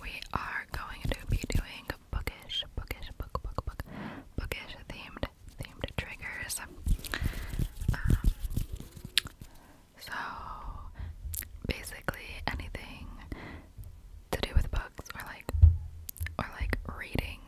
we are going to be doing bookish, bookish, book, book, book, bookish themed, themed triggers. Um, so basically anything to do with books or like or like reading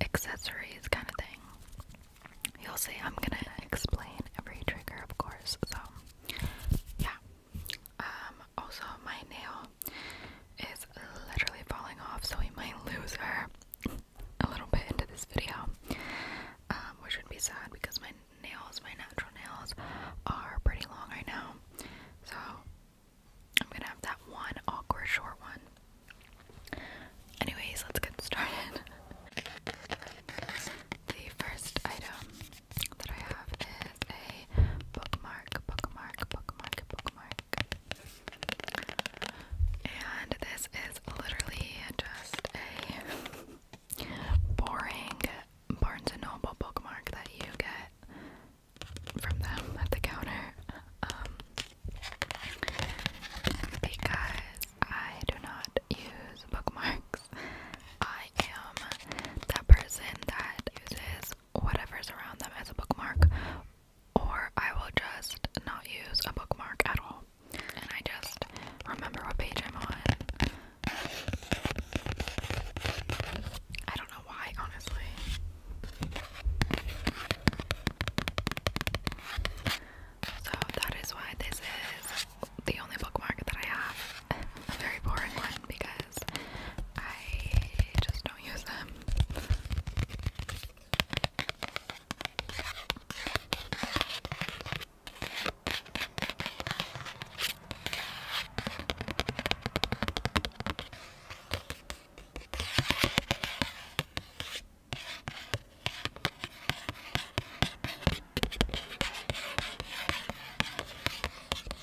accessories kind of thing. You'll see I'm gonna explain every trigger of course, so yeah. Um, also my nail is literally falling off, so we might lose her a little bit into this video, um, which would be sad because my nails, my natural nails, are pretty long right now. So I'm gonna have that one awkward short one. Anyways, let's get started. The first item that I have is a bookmark, bookmark, bookmark, bookmark. And this is literally just a boring Barnes & Noble bookmark that you get from them at the counter. Um, because I do not use bookmarks. I am that person that uses whatever's around them as a bookmark, or I will just not use a bookmark at all. And I just remember what page I'm on. I don't know why, honestly. So that is why this is the only bookmark that I have a very boring one because I just don't use them.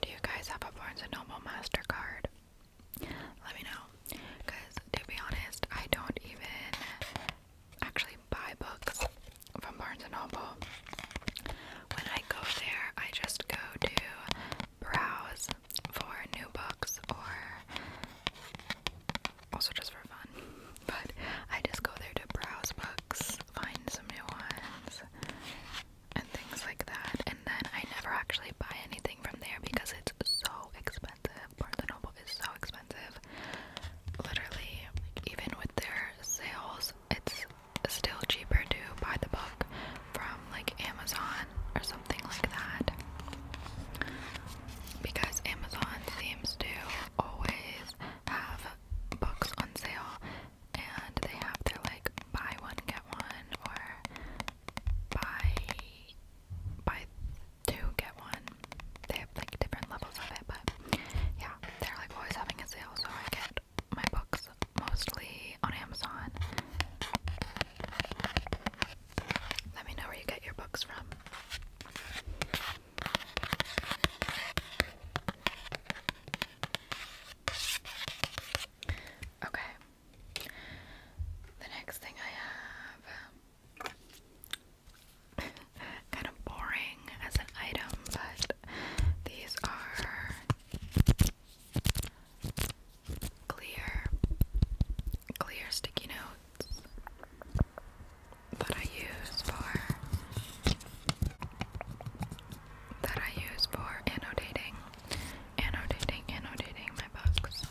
Do you guys have a Barnes & Noble MasterCard? Let me know. Because to be honest, I don't even actually buy books from Barnes & Noble. When I go there, I just go to browse for new books or also just for fun. But I just go there to browse books books, find some new ones, and things like that. And then I never actually buy anything from there because it's so expensive. Barnes & Noble is so expensive. Literally, even with their sales, it's still cheaper to buy the book from like Amazon or something like that. Because Amazon seems to always have books on sale and they have their like buy one get one or buy buy two get one. They have like different levels of it, but yeah, they're like always having a sale, so I get my books mostly on Amazon. Let me know where you get your books from. Okay. The next thing I have um, kind of boring as an item, but these are clear clear sticky notes that I use for that I use for annotating, annotating, annotating my books.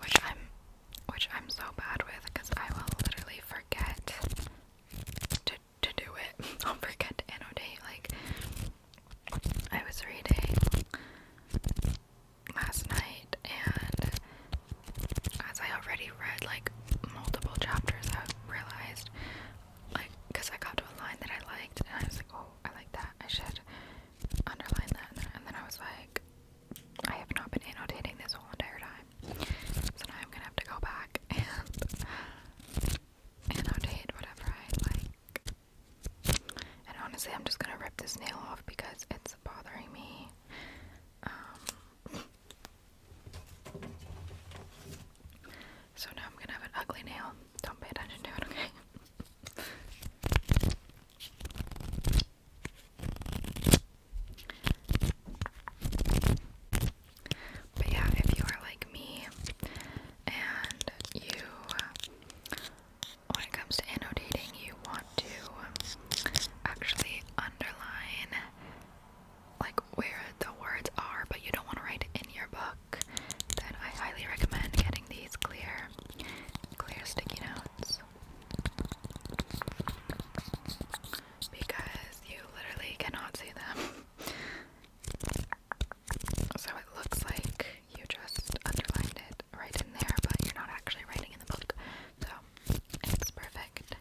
Which I'm, which I'm so bad with because I will literally forget to to do it. I'll forget to annotate. Like I was reading last night and as I already read like multiple chapters, I realized like because I got to a line that I liked, and I was like, oh, I like that. I should underline that, and then, I was like, I have not been annotating this whole entire time, so now I'm gonna have to go back and annotate whatever I like. And honestly, I'm just gonna rip this nail off because it's bothering me. Um, so now I'm gonna have an ugly nail. Don't pay attention to it, okay? But yeah, if you are like me and you, when it comes to annotating, you want to actually underline like where the words are but you don't want to write in your book, then I highly recommend getting these clear clear sticky notes. Because you literally cannot see them. So it looks like you just underlined it right in there, but you're not actually writing in the book. So it's perfect.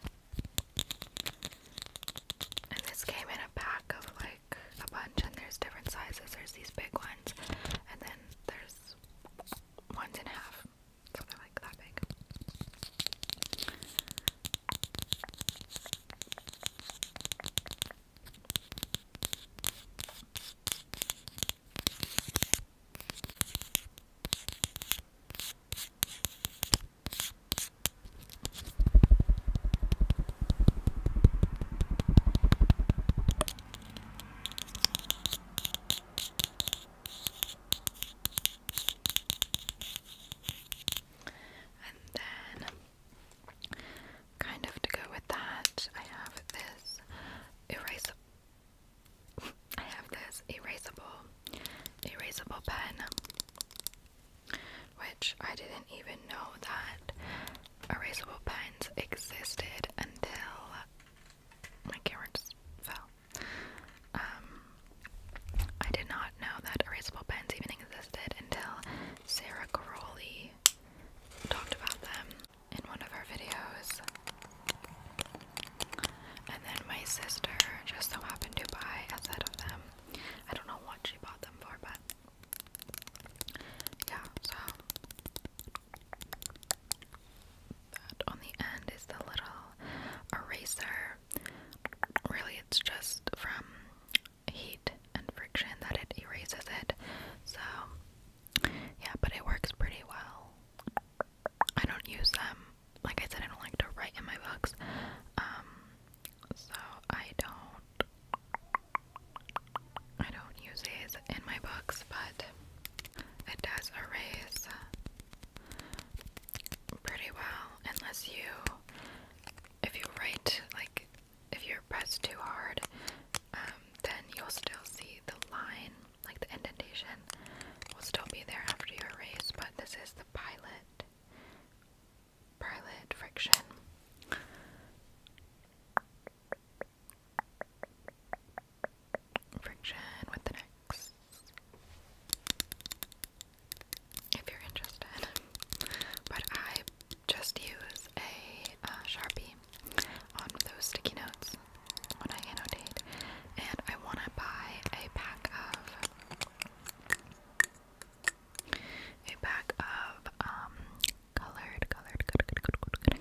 And this came in a pack of like a bunch, and there's different sizes. There's these big ones, and then there's ones and a half, so they like that big. And then, kind of to go with that, I have this erase I have this erasable, erasable pen, which I didn't even know that erasable pens existed until my camera just fell. Um, I did not know that erasable pens even existed until Sarah Caroli talked about them in one of her videos. And then my sister just so happened to buy a set of them. I don't know what she bought them for, but yeah, so on the end is the little eraser. Really, it's just from heat and friction that it erases it. So, yeah, but it works pretty well. I don't use them like I said, I don't like to write in my books. Um, so I don't, I don't use these in my books, but it does erase pretty well, unless you, if you write, like, if you're too hard, um, then you'll still see the line, like the indentation will still be there after you erase, but this is pilot pilot friction. Friction with the necks. If you're interested. But I just use a uh, Sharpie on those sticky notes when I annotate. And I want to buy a pack of a pack of um colored, colored, colored,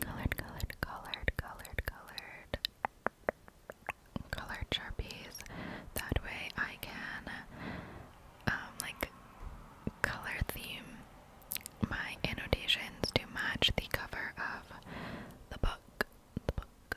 colored, colored, colored, colored, colored, colored, colored sharpies. That way, I can um like color theme my annotations to match the cover of the book. The book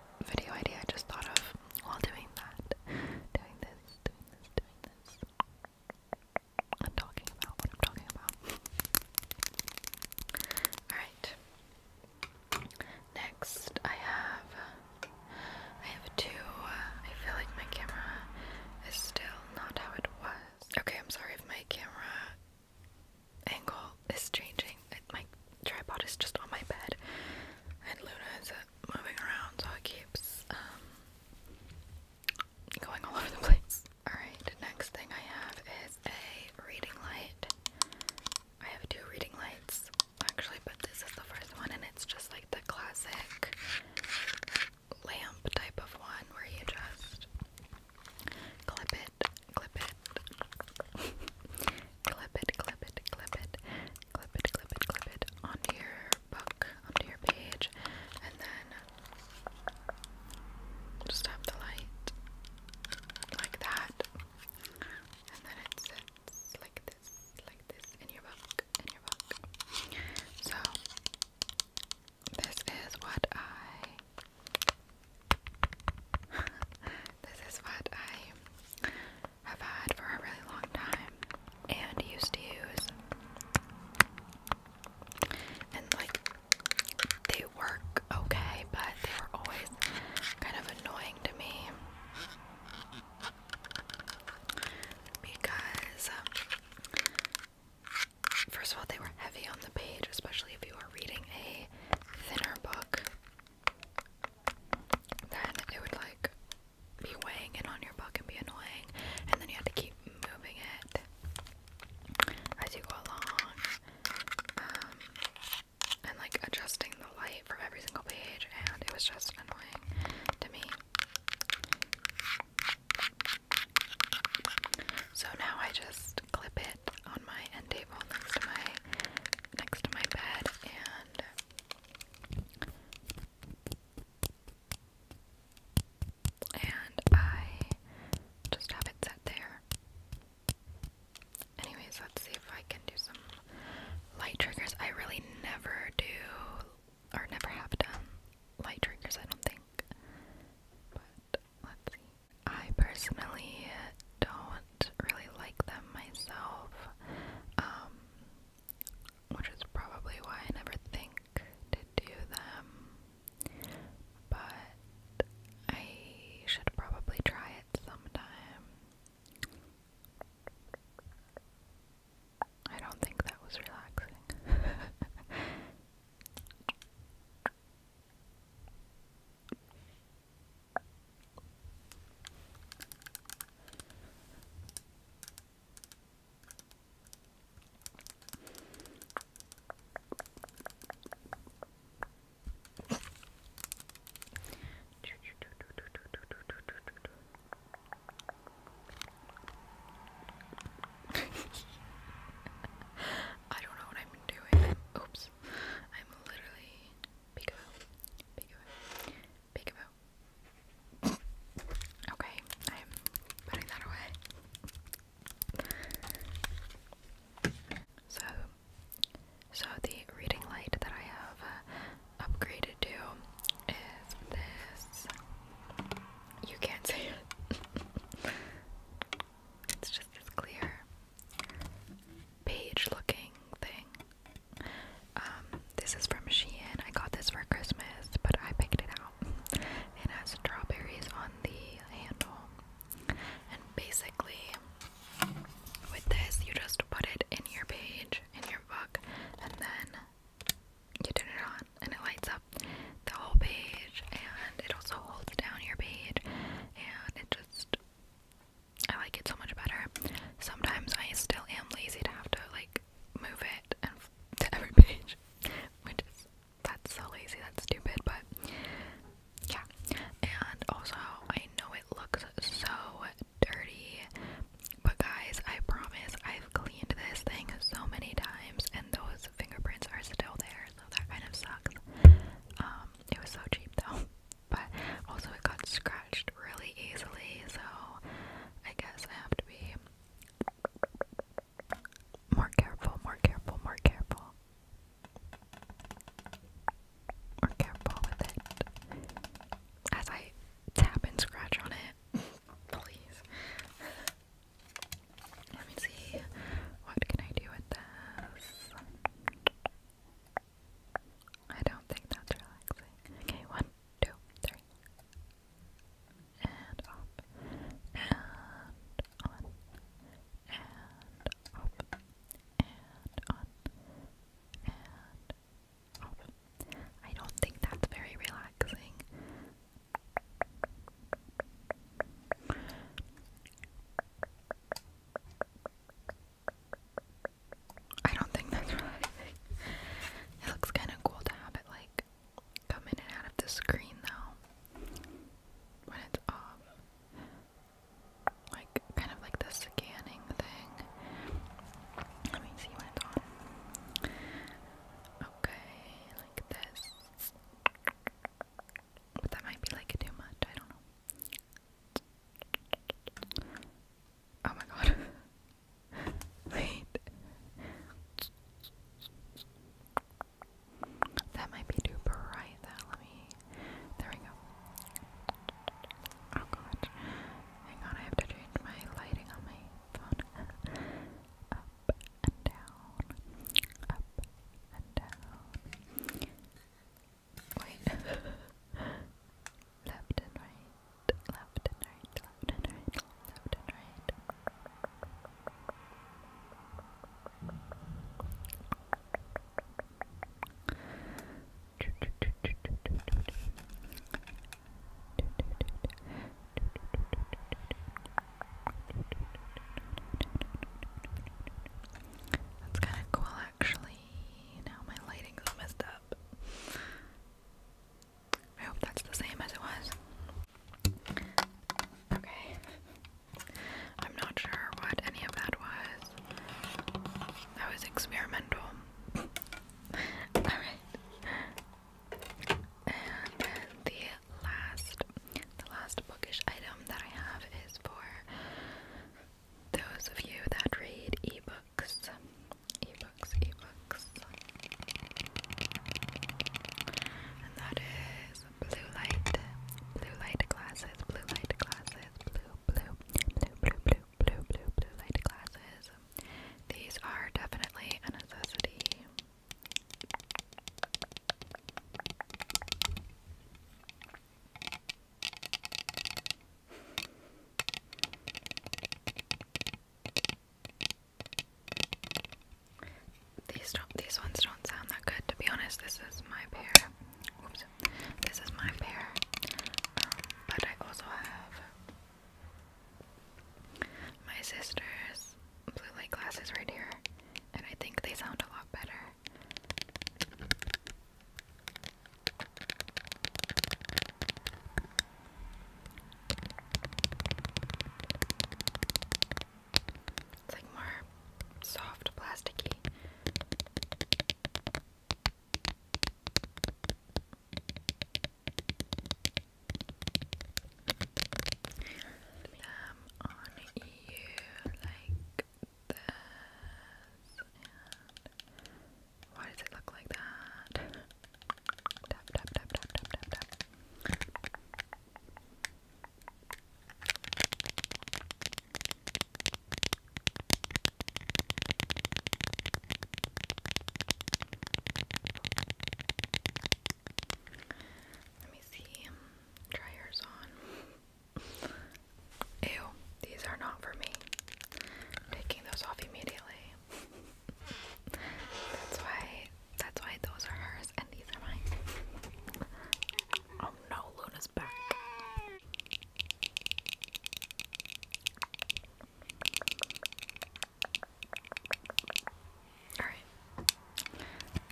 video idea I just thought of while doing that. Doing this, doing this, doing this. I'm talking about what I'm talking about. Alright. Next, I have. I have two. Uh, I feel like my camera is still not how it was. Okay, I'm sorry if my camera angle is changing. my tripod is just on my bed, and Luna is uh, moving around, so it keeps um, going all over the place. Alright, next thing I have is a reading light. I have two reading lights, actually, but this is the first one, and it's just like the classic lamp type of one where you just clip it, clip it, clip it, clip it, clip it, clip it, clip it, clip it onto your book, onto your page, and then just have the light like that, and then it sits like this, like this in your book, in your book. So this is what I this is what I have had for a really long time and used to use. And like they work okay, but they were always kind of annoying to me because um, first of all they were heavy on the page, especially if you are reading a thinner book then it would like be weighing in on your book and be annoying, and then you had to keep moving it as you go along, um, and like adjusting the light for every single page, and it was just annoying to me. So now I just clip it on my end table next to my next to my bed and and I just have it set there. Anyways, let's see if I can do some light triggers. I really never do or never have done light triggers, I don't think. But let's see. I personally don't really like them myself, um, which is probably why I never think to do them. But I should probably try it sometime. I don't think that was relaxing. I don't know what I'm doing. Oops. I'm literally Peekaboo. Peekaboo. Peekaboo. Okay, I'm putting that away. So, so the reading light that I have uh, upgraded to is this. You can't see it. it's just as clear page looking thing. Um, this is from Shein. I got this for Christmas, but I picked it out. It has strawberries on the handle. And basically, with this, you just put it in your page, in your book, and then you turn it on, and it lights up the whole page, and it also holds down your page, and it just I like it so much better. Sometimes I still am lazy to have to like move it and to every page, which is that's so lazy, that's stupid, but yeah. And also, I know it looks so dirty, but guys, I promise I've cleaned this thing so many times, and those fingerprints are still there, so that kind of sucks. Um, it was so cheap though but also it got scratched really easily, so I guess I have to be more careful, more careful, more careful. More careful with it. As I tap and scratch on it. Please. Let me see. What can I do with this? I don't think that's relaxing. Okay, one, two, three. And up. And on. And up. And on. And up. I don't think that's very relaxing. I don't think that's right. it looks kind of cool to have it like come in and out of the screen though when it's off. Like kind of like the scanning thing. Let me see when it's on. Okay, like this. But that might be like too much, I don't know. Oh my god. Wait. That might be too bright though. Let me. There we go. Oh god. Hang on, I have to change my lighting on my phone. Up and down. Up and down. Wait. left and right, left and right, left and right, left and right. That's kind of cool actually. Now my lighting's messed up. I hope that's the same as it was. Okay. I'm not sure what any of that was. That was experimental. Alright. And the last the last bookish item that I have is for those of you that read ebooks, ebooks, ebooks, and that is blue light, blue light glasses, blue light glasses, blue, blue, blue, blue, blue, blue, blue, blue light glasses. These are definitely a necessity. These don't these ones don't sound that good to be honest. This is my pair. Oops. This is my pair. Um, but I also have my sister's blue light glasses right here. And I think they sound a lot better. It's like more soft plasticky. Um, on you like this. Why does it look like that? Let me see. Dryers on. Ew, these are not for me. taking those off immediately. that's why that's why those are hers and these are mine. Oh no, Luna's back. Alright.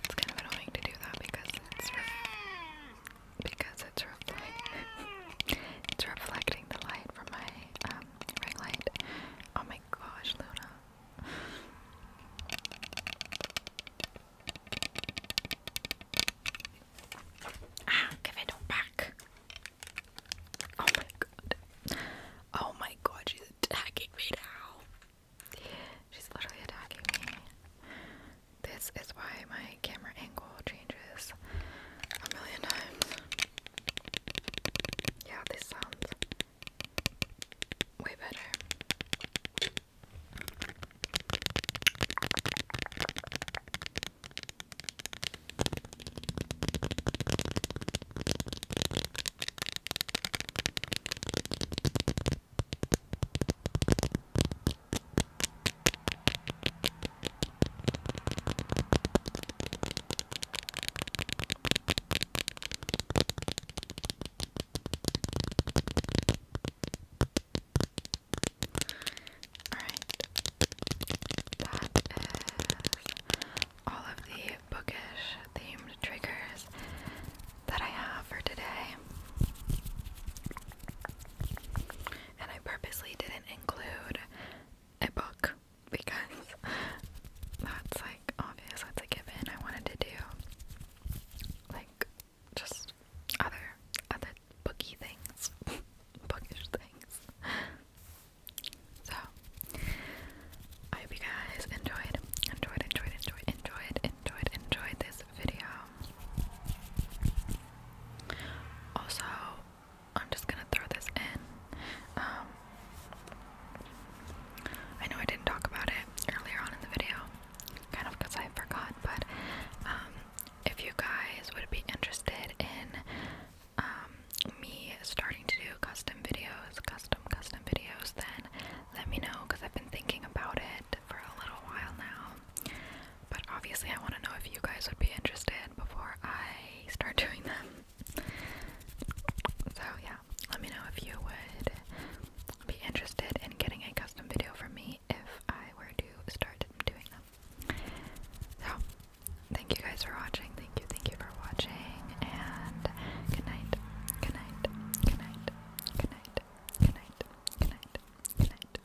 It's kind of annoying to do that because because it's reflecting it's reflecting the light from my um, ring light. Oh my gosh, Luna. Ah, give it back. Oh my god. Oh my god, she's attacking me now. She's literally attacking me. This is why my camera angle changes a million times. Yeah, this sounds way better. Alright, that is all of the bookish themed triggers that I have for today and I purposely didn't include a book because that's like obvious, that's a given. I wanted to do like just other other booky things, bookish things. So I hope you guys enjoyed, enjoyed, enjoyed, enjoyed, enjoyed, enjoyed, enjoyed this also, I'm just gonna throw this in. Um, I know I didn't talk about it earlier on in the video, kind of because I forgot, but um, if you guys would be interested in um, me starting to do custom videos, custom, custom videos, then let me know because I've been thinking about it for a little while now. But obviously, I want to know if you guys would be interested before I start doing them. So, yeah, let me know if you would be interested in getting a custom video from me if I were to start doing them. So, thank you guys for watching. Thank you, thank you for watching. And good night, good night, good night, good night, good night, good night, good night.